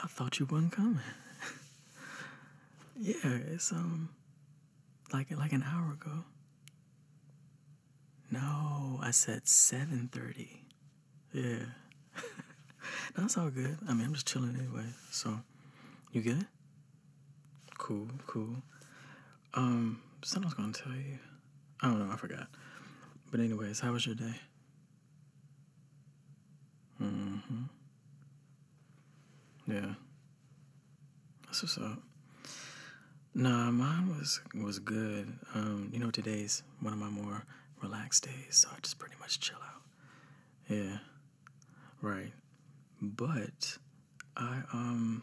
I thought you weren't coming. yeah, it's um like like an hour ago. No, I said 7.30. Yeah. That's all good. I mean, I'm just chilling anyway. So, you get it? Cool, cool. Um, something I was gonna tell you. I don't know, I forgot. But anyways, how was your day? Mm-hmm. Yeah. That's what's up. Nah, mine was was good. Um, you know, today's one of my more relaxed days, so I just pretty much chill out. Yeah, right. But I um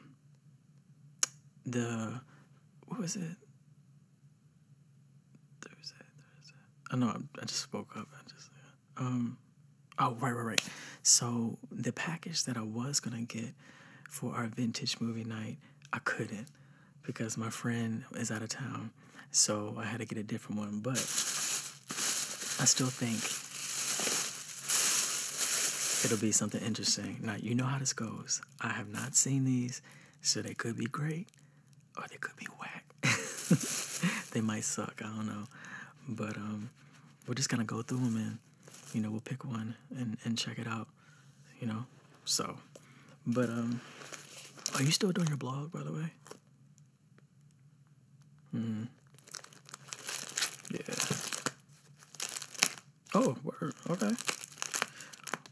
the what was it? Thursday, Thursday. I know I, I just spoke up. I just um Oh, right, right, right. So the package that I was gonna get for our vintage movie night, I couldn't because my friend is out of town. So I had to get a different one, but I still think it'll be something interesting. Now, you know how this goes. I have not seen these, so they could be great or they could be whack. they might suck, I don't know. But um, we're just gonna go through them and you know, we'll pick one and, and check it out, you know? So, but, um, are you still doing your blog, by the way? Hmm. Yeah. Oh, Okay.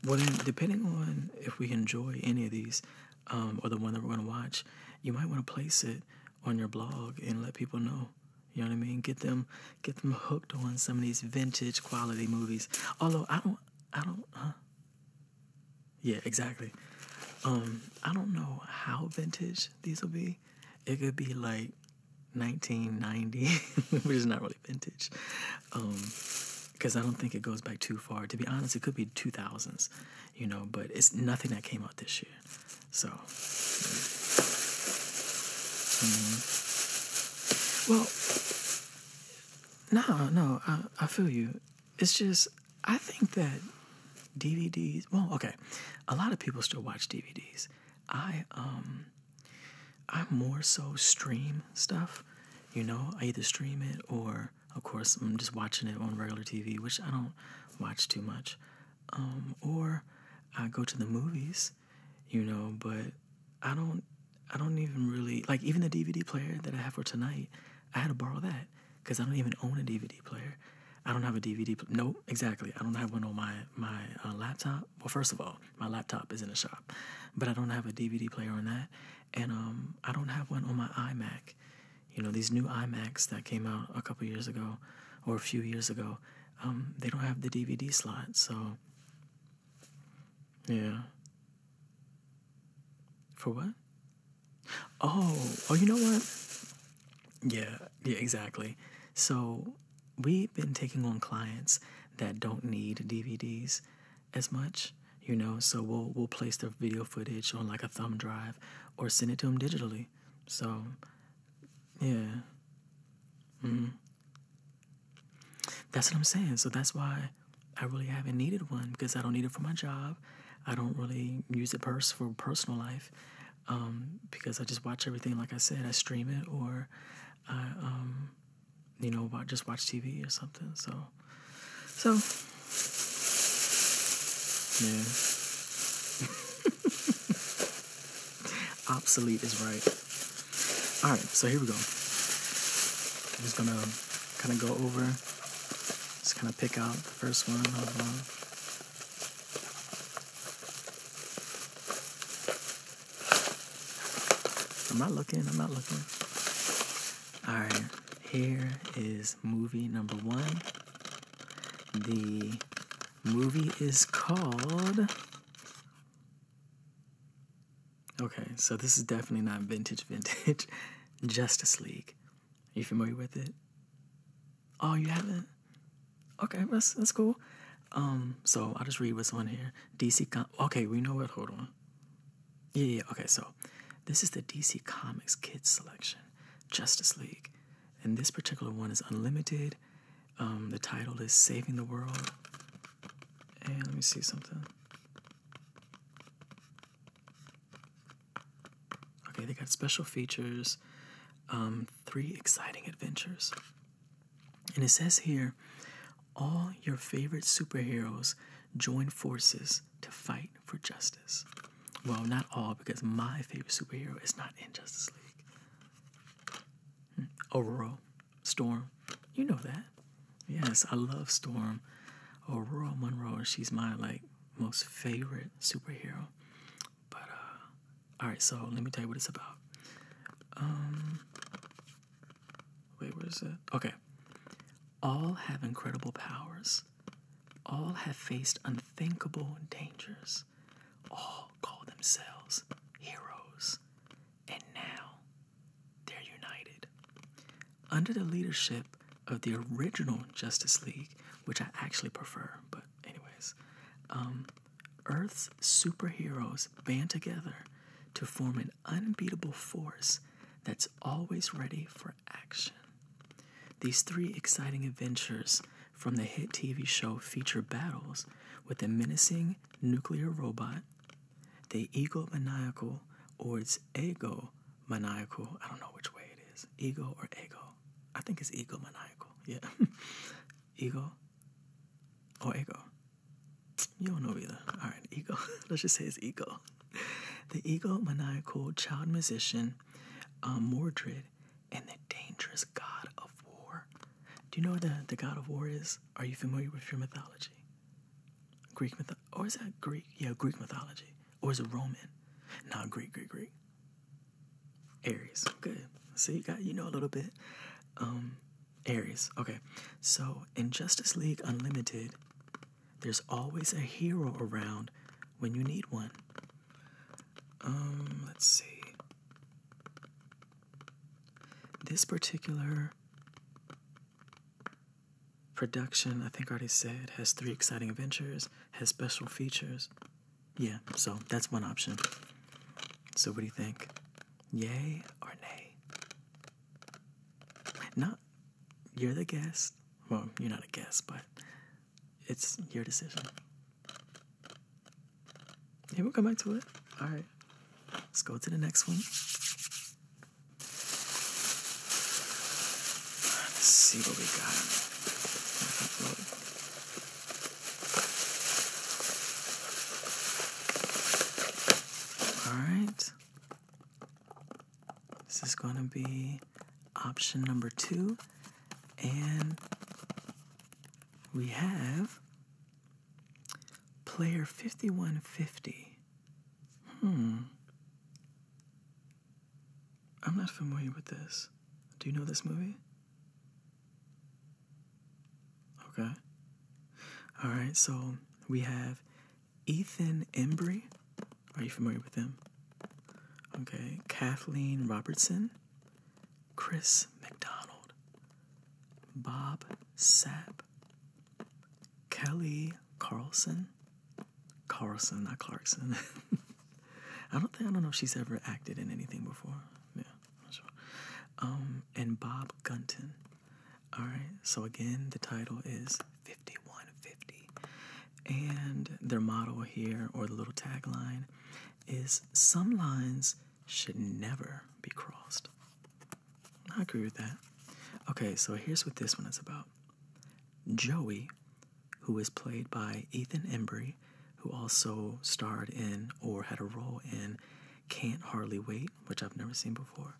Well, depending on if we enjoy any of these, um, or the one that we're going to watch, you might want to place it on your blog and let people know you know what I mean? Get them, get them hooked on some of these vintage quality movies. Although I don't, I don't. Yeah, exactly. Um, I don't know how vintage these will be. It could be like 1990, which is not really vintage, because um, I don't think it goes back too far. To be honest, it could be 2000s, you know. But it's nothing that came out this year. So, mm-hmm. well, no, no, I, I feel you. It's just, I think that DVDs, well, okay, a lot of people still watch DVDs. I, um, I more so stream stuff. You know, I either stream it or, of course, I'm just watching it on regular TV, which I don't watch too much. Um, or I go to the movies you know, but I don't I don't even really like even the DVD player that I have for tonight. I had to borrow that because I don't even own a DVD player. I don't have a DVD. Pl- no, exactly. I don't have one on my my uh, laptop. Well, first of all, my laptop is in the shop, but I don't have a DVD player on that, and um, I don't have one on my iMac. You know, these new iMacs that came out a couple years ago, or a few years ago, um, they don't have the DVD slot, so yeah. For what? Oh, oh, you know what? Yeah, yeah, exactly. So we've been taking on clients that don't need DVDs as much, you know. So we'll we'll place their video footage on like a thumb drive or send it to them digitally. So yeah. hmm That's what I'm saying. So that's why I really haven't needed one because I don't need it for my job. I don't really use it pers- for personal life um, because I just watch everything. Like I said, I stream it or I, um, you know, just watch TV or something. So, so yeah. Obsolete is right. Alright, so here we go. I'm just gonna kind of go over, just kind of pick out the first one. I'm not looking, I'm not looking. Alright, here is movie number one The movie is called. Okay, so this is definitely not vintage, vintage. Justice League. Are you familiar with it? Oh, you haven't? Okay, that's, that's cool. Um, so I'll just read what's on here. DC Com- Okay, we know it. Hold on. Yeah, yeah. Okay, so this is the DC Comics Kids Selection, Justice League, and this particular one is unlimited. Um, the title is Saving the World. And let me see something. Okay, they got special features, um, three exciting adventures. And it says here all your favorite superheroes join forces to fight for justice. Well, not all, because my favorite superhero is not in Justice League. Aurora, Storm. You know that. Yes, I love Storm. Aurora Monroe, she's my like most favorite superhero. But uh, all right, so let me tell you what it's about. Um, wait, where is it? Okay. All have incredible powers. All have faced unthinkable dangers all call themselves heroes, and now they're united. Under the leadership of the original Justice League, which I actually prefer, but, anyways, um, Earth's superheroes band together to form an unbeatable force that's always ready for action. These three exciting adventures from the hit TV show feature battles with the menacing nuclear robot, the ego maniacal, or its ego maniacal. I don't know which way it is. Ego or ego. I think it's ego maniacal. Yeah. ego or ego. You don't know either. All right, ego. Let's just say it's ego. The ego maniacal child musician, um, Mordred, and the dangerous god of war. Do you know what the, the god of war is? Are you familiar with your mythology? Greek myth or is that Greek? Yeah, Greek mythology. Or is it Roman? Not Greek, Greek, Greek. Aries. Good. So you got you know a little bit. Um Aries. Okay. So in Justice League Unlimited, there's always a hero around when you need one. Um, let's see. This particular production, I think I already said, has three exciting adventures, has special features. Yeah, so that's one option. So what do you think? Yay or nay? Not you're the guest. Well, you're not a guest, but it's your decision. Yeah, we'll come back to it. All right. Let's go to the next one. Let's see what we got. All right. This is going to be option number two. And we have Player 5150. Hmm. I'm not familiar with this. Do you know this movie? Okay. All right, so we have Ethan Embry. Are you familiar with him? Okay. Kathleen Robertson, Chris McDonald, Bob Sapp, Kelly Carlson, Carlson, not Clarkson. I don't think I don't know if she's ever acted in anything before. Yeah, not sure. Um, and Bob Gunton. All right. So again, the title is 5150, and their model here, or the little tagline, is some lines should never be crossed. I agree with that. Okay, so here's what this one is about. Joey, who is played by Ethan Embry, who also starred in or had a role in Can't Hardly Wait, which I've never seen before,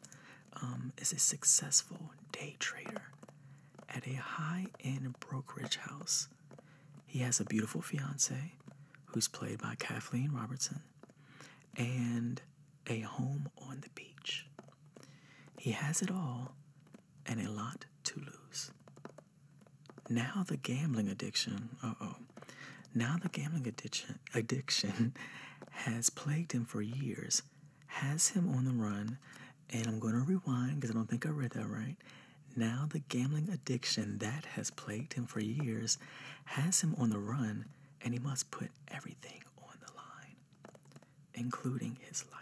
um, is a successful day trader at a high end brokerage house he has a beautiful fiance who's played by Kathleen Robertson and a home on the beach. He has it all and a lot to lose. Now the gambling addiction, uh-oh. Now the gambling addiction addiction has plagued him for years, has him on the run, and I'm going to rewind because I don't think I read that right. Now the gambling addiction that has plagued him for years has him on the run, and he must put everything on the line, including his life.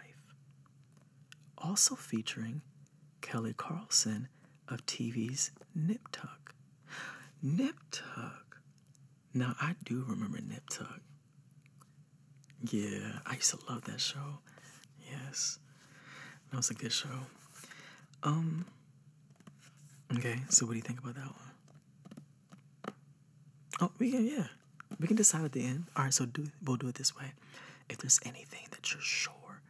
Also featuring Kelly Carlson of TV's Nip Tuck. Nip Tuck. Now, I do remember Nip Tuck. Yeah, I used to love that show. Yes, that was a good show. Um, Okay, so what do you think about that one? Oh, we can yeah, we can decide at the end. All right, so do we'll do it this way. If there's anything that you're sure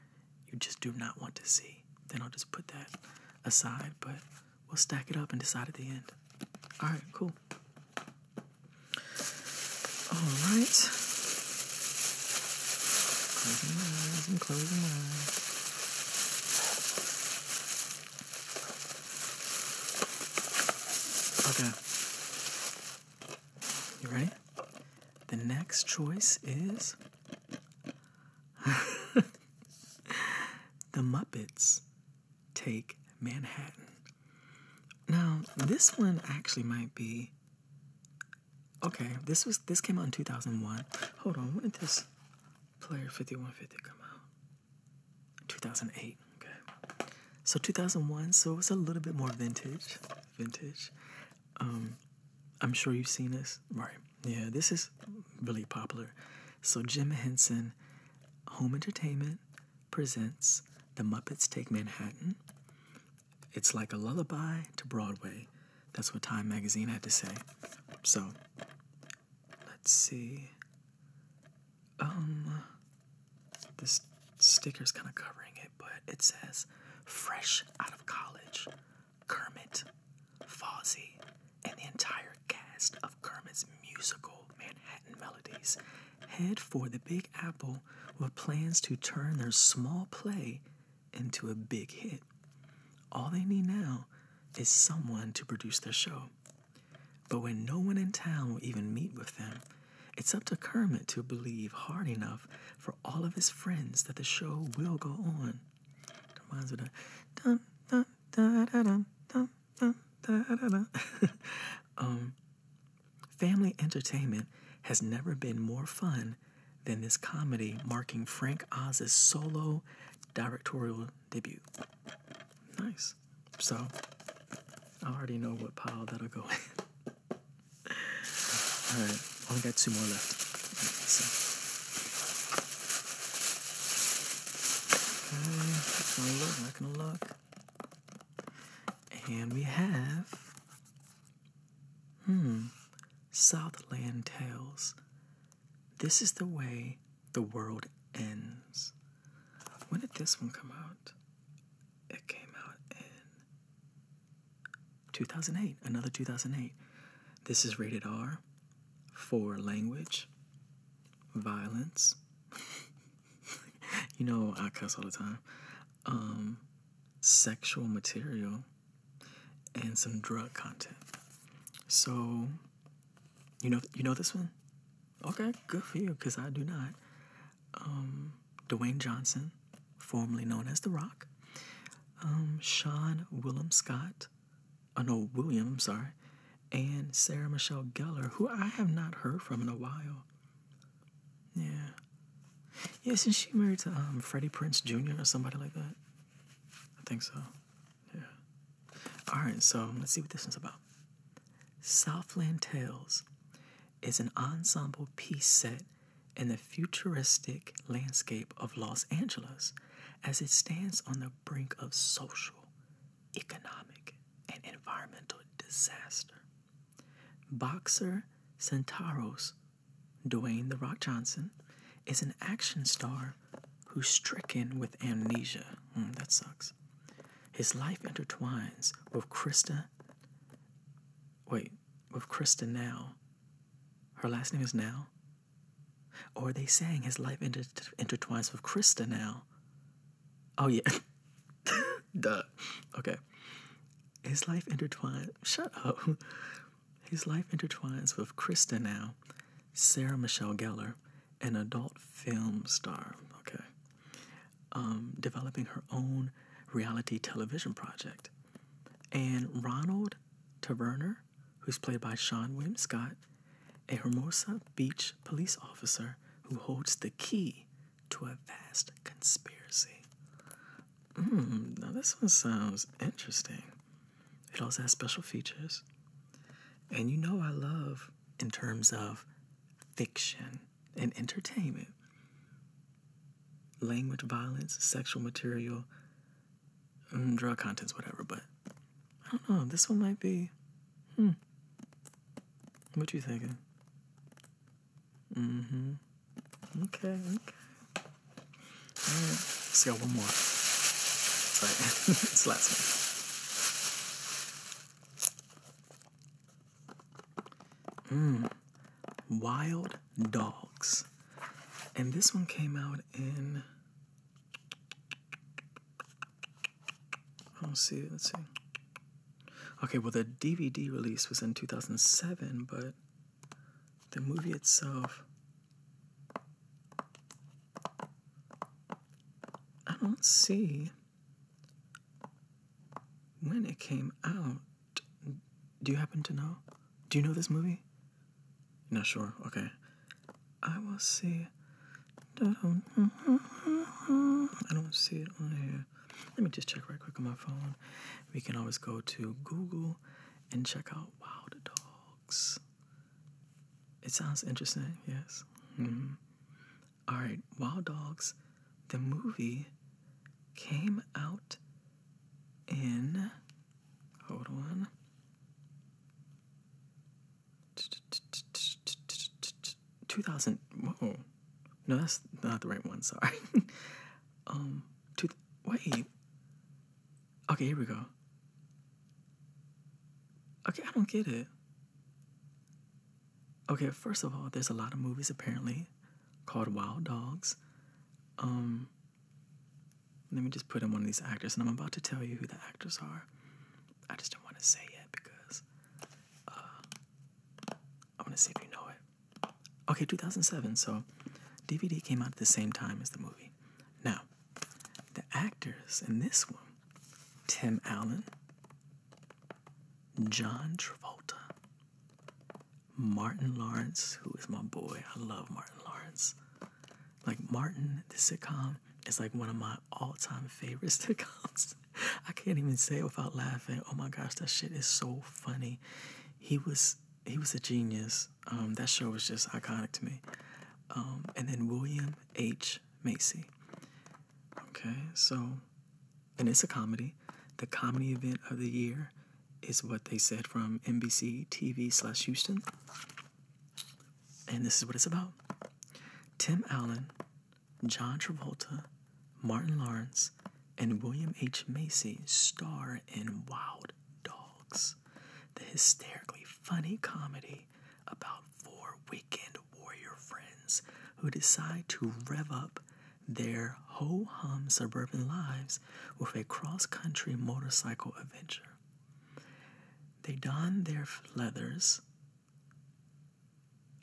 you just do not want to see, then I'll just put that aside. But we'll stack it up and decide at the end. All right, cool. All right. Okay. You ready? The next choice is The Muppets Take Manhattan. Now, this one actually might be Okay, this was this came out in 2001. Hold on, what is this Player 5150 come out. 2008, okay. So 2001, so it's a little bit more vintage. Vintage. Um, I'm sure you've seen this. Right. Yeah, this is really popular. So Jim Henson, Home Entertainment, presents The Muppets Take Manhattan. It's like a lullaby to Broadway. That's what Time Magazine had to say. So, let's see. Um, this is kind of covering it, but it says fresh out of college, Kermit, Fozzie, and the entire cast of Kermit's musical Manhattan Melodies head for the Big Apple with plans to turn their small play into a big hit. All they need now is someone to produce their show. But when no one in town will even meet with them, it's up to Kermit to believe hard enough for all of his friends that the show will go on. family entertainment has never been more fun than this comedy, marking Frank Oz's solo directorial debut. Nice. So, I already know what pile that'll go in. Alright, only got two more left. not gonna look, not gonna look. And we have, hmm, Southland Tales, this is the way the world ends. When did this one come out? It came out in 2008, another 2008. This is rated R for language, violence. you know, I cuss all the time. Um, sexual material and some drug content. So, you know, you know this one. Okay, good for you, because I do not. Um, Dwayne Johnson, formerly known as The Rock. Um, Sean William Scott, oh no, William, sorry, and Sarah Michelle Gellar, who I have not heard from in a while. Yeah. Yeah, since she married to um, Freddie Prince Jr. or somebody like that. I think so. Yeah. All right, so let's see what this is about. Southland Tales is an ensemble piece set in the futuristic landscape of Los Angeles as it stands on the brink of social, economic, and environmental disaster. Boxer Centauros Dwayne The Rock Johnson, is an action star who's stricken with amnesia. Mm, that sucks. His life intertwines with Krista. Wait, with Krista now. Her last name is Now? Or are they saying his life intertwines with Krista now? Oh, yeah. Duh. Okay. His life intertwines. Shut up. His life intertwines with Krista now, Sarah Michelle Gellar, an adult film star, okay, um, developing her own reality television project. And Ronald Taverner, who's played by Sean William Scott, a Hermosa Beach police officer who holds the key to a vast conspiracy. Hmm, now this one sounds interesting. It also has special features. And you know, I love in terms of fiction and entertainment language, violence, sexual material, mm, drug contents, whatever. But I don't know. This one might be. Hmm. What you thinking? Mm-hmm. Okay. Okay. Alright, let's go one more. That's it's the last one. Mm. Wild Dogs. And this one came out in. Let's see, let's see. Okay, well, the DVD release was in 2007, but the movie itself I don't see when it came out. Do you happen to know? Do you know this movie? Not sure. Okay. I will see. I don't see it on here. Let me just check right quick on my phone. We can always go to Google and check out Wild Dog. It sounds interesting, yes. Mm-hmm. right, Wild Dogs, the movie came out in. Hold on. Two thousand. Whoa, no, that's not the right one. Sorry. um, wait, Okay, here we go. Okay, I don't get it. Okay, first of all, there's a lot of movies apparently called Wild Dogs. Um, let me just put in one of these actors, and I'm about to tell you who the actors are. I just don't want to say yet because uh, I want to see if you know it. Okay, 2007. So DVD came out at the same time as the movie. Now, the actors in this one Tim Allen, John Travolta, Martin Lawrence, who is my boy. I love Martin Lawrence. Like Martin, the sitcom is like one of my all-time favorite sitcoms. I can't even say it without laughing. Oh my gosh, that shit is so funny. He was he was a genius. Um, that show was just iconic to me. Um, and then William H. Macy. Okay, so, and it's a comedy. The comedy event of the year is what they said from NBC TV slash Houston. And this is what it's about Tim Allen, John Travolta, Martin Lawrence, and William H. Macy star in Wild Dogs, the hysterically funny comedy about four weekend warrior friends who decide to rev up their ho hum suburban lives with a cross country motorcycle adventure. They don their leathers.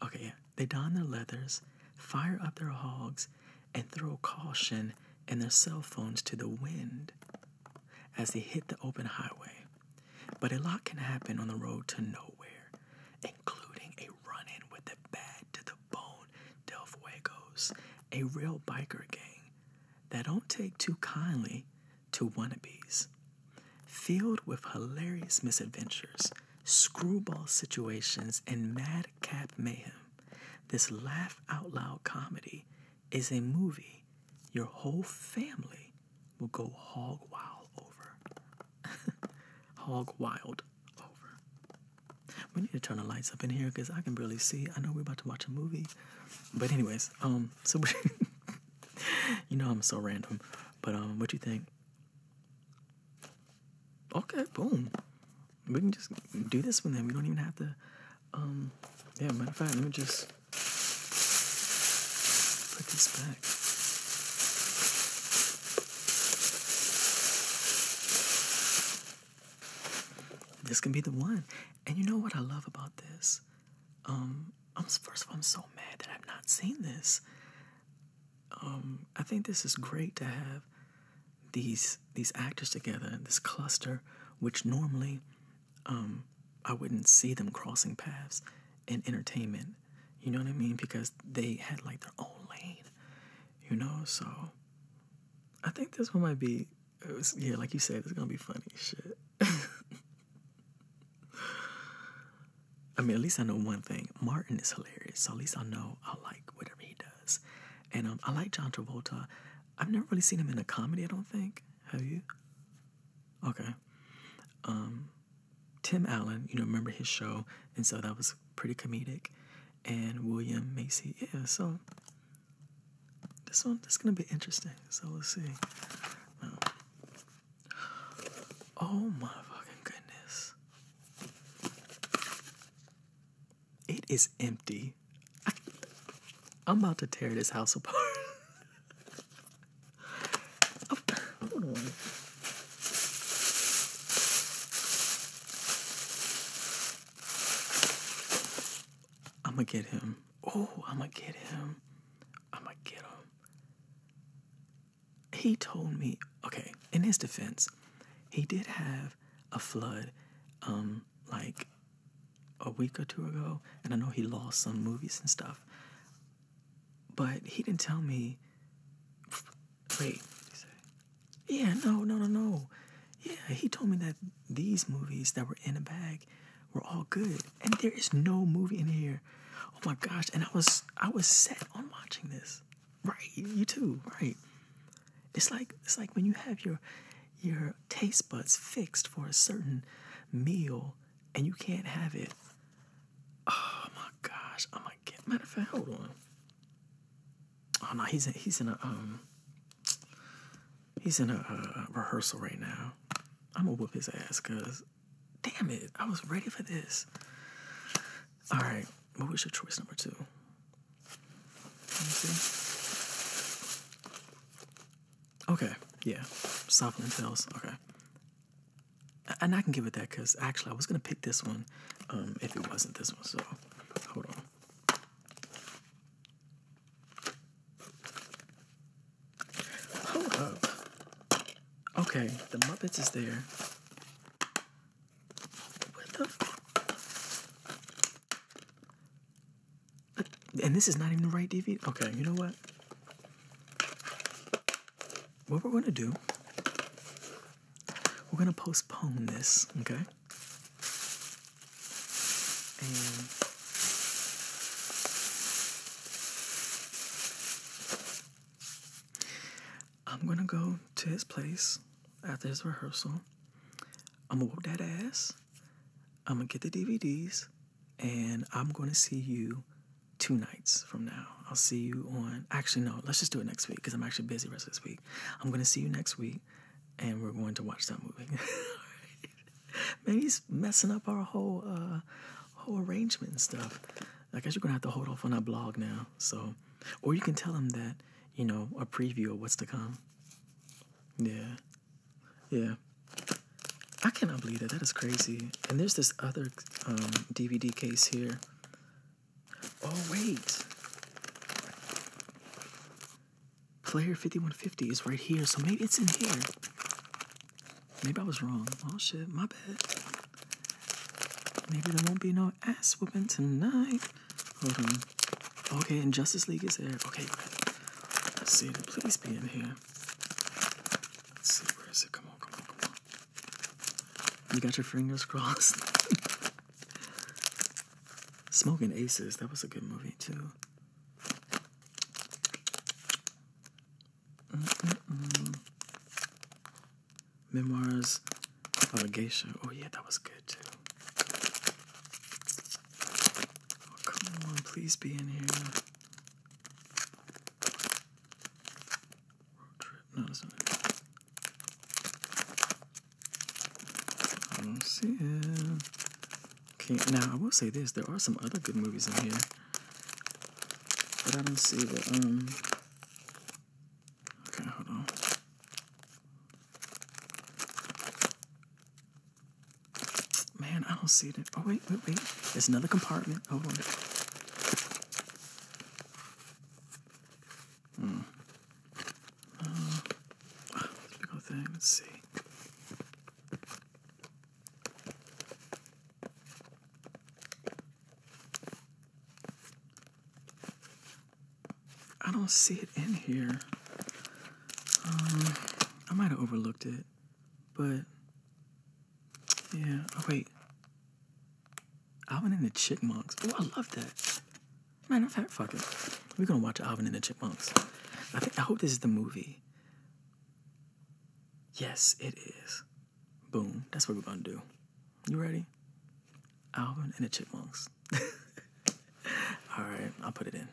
Okay, yeah. They don their leathers, fire up their hogs, and throw caution and their cell phones to the wind as they hit the open highway. But a lot can happen on the road to nowhere, including a run in with the bad to the bone Del Fuegos, a real biker gang that don't take too kindly to wannabes. Filled with hilarious misadventures, screwball situations, and madcap mayhem, this laugh out loud comedy is a movie your whole family will go hog wild over. hog wild over. We need to turn the lights up in here because I can barely see. I know we're about to watch a movie. But anyways, um so you know I'm so random. But um what you think? Okay, boom. We can just do this one then. We don't even have to um yeah, matter of fact, let me just Put this back. This can be the one. And you know what I love about this? Um, I'm first of all, I'm so mad that I've not seen this. Um, I think this is great to have these these actors together, in this cluster, which normally um, I wouldn't see them crossing paths in entertainment. You know what I mean? Because they had like their own lane, you know? So I think this one might be, yeah, like you said, it's gonna be funny shit. I mean, at least I know one thing. Martin is hilarious, so at least I know I like whatever he does. And um, I like John Travolta. I've never really seen him in a comedy, I don't think. Have you? Okay. Um, Tim Allen, you know, remember his show, and so that was pretty comedic. And William Macy, yeah. So this one, this is gonna be interesting. So we'll see. Um, oh my fucking goodness! It is empty. I'm about to tear this house apart. Hold on. I'm gonna get him. Oh, I'm gonna get him. I'm gonna get him. He told me, okay, in his defense, he did have a flood, um, like a week or two ago, and I know he lost some movies and stuff. But he didn't tell me. Wait, yeah, no, no, no, no. Yeah, he told me that these movies that were in a bag were all good, and there is no movie in here. Oh my gosh! And I was I was set on watching this. Right, you too. Right. It's like it's like when you have your your taste buds fixed for a certain meal and you can't have it. Oh my gosh, I'm gonna get matter of fact, hold on. Oh no, he's in he's in a um he's in a, uh, rehearsal right now. I'm gonna whoop his ass cause damn it, I was ready for this. All right, what was your choice number two? Let me see. Okay, yeah, softening pills. Okay, and I can give it that because actually I was gonna pick this one um, if it wasn't this one. So hold on. Hold up. Okay, the Muppets is there. What the? And this is not even the right DVD. Okay, you know what? What we're going to do, we're going to postpone this, okay? And I'm going to go to his place after his rehearsal. I'm going to whoop that ass. I'm gonna get the DVDs and I'm gonna see you two nights from now. I'll see you on actually no, let's just do it next week because I'm actually busy rest of this week. I'm gonna see you next week and we're going to watch that movie. Man, he's messing up our whole uh, whole arrangement and stuff. I guess you're gonna have to hold off on that blog now. So or you can tell him that, you know, a preview of what's to come. Yeah. Yeah. I cannot believe that. That is crazy. And there's this other DVD um, case here. Oh, wait. Player 5150 is right here, so maybe it's in here. Maybe I was wrong. Oh, shit. My bad. Maybe there won't be no ass whooping tonight. Hold Okay, and Justice League is there. Okay, let's see. Please be in here where is it? Come on, come on, come on. You got your fingers crossed. Smoking Aces, that was a good movie too. Memoirs of a Geisha. Oh yeah, that was good too. Oh, come on, please be in here. Road trip, not as I don't see it. Okay, now I will say this: there are some other good movies in here, but I don't see the um. Okay, hold on. Man, I don't see it. Oh, wait, wait, wait. There's another compartment. Hold oh, on. Hmm. big uh, old thing. Let's see. I don't see it in here. Um, I might have overlooked it. But yeah. Oh wait. Alvin and the Chipmunks. Oh, I love that. Man, I've had fucking. We're gonna watch Alvin and the Chipmunks. I think I hope this is the movie. Yes, it is. Boom. That's what we're gonna do. You ready? Alvin and the Chipmunks. All right, I'll put it in.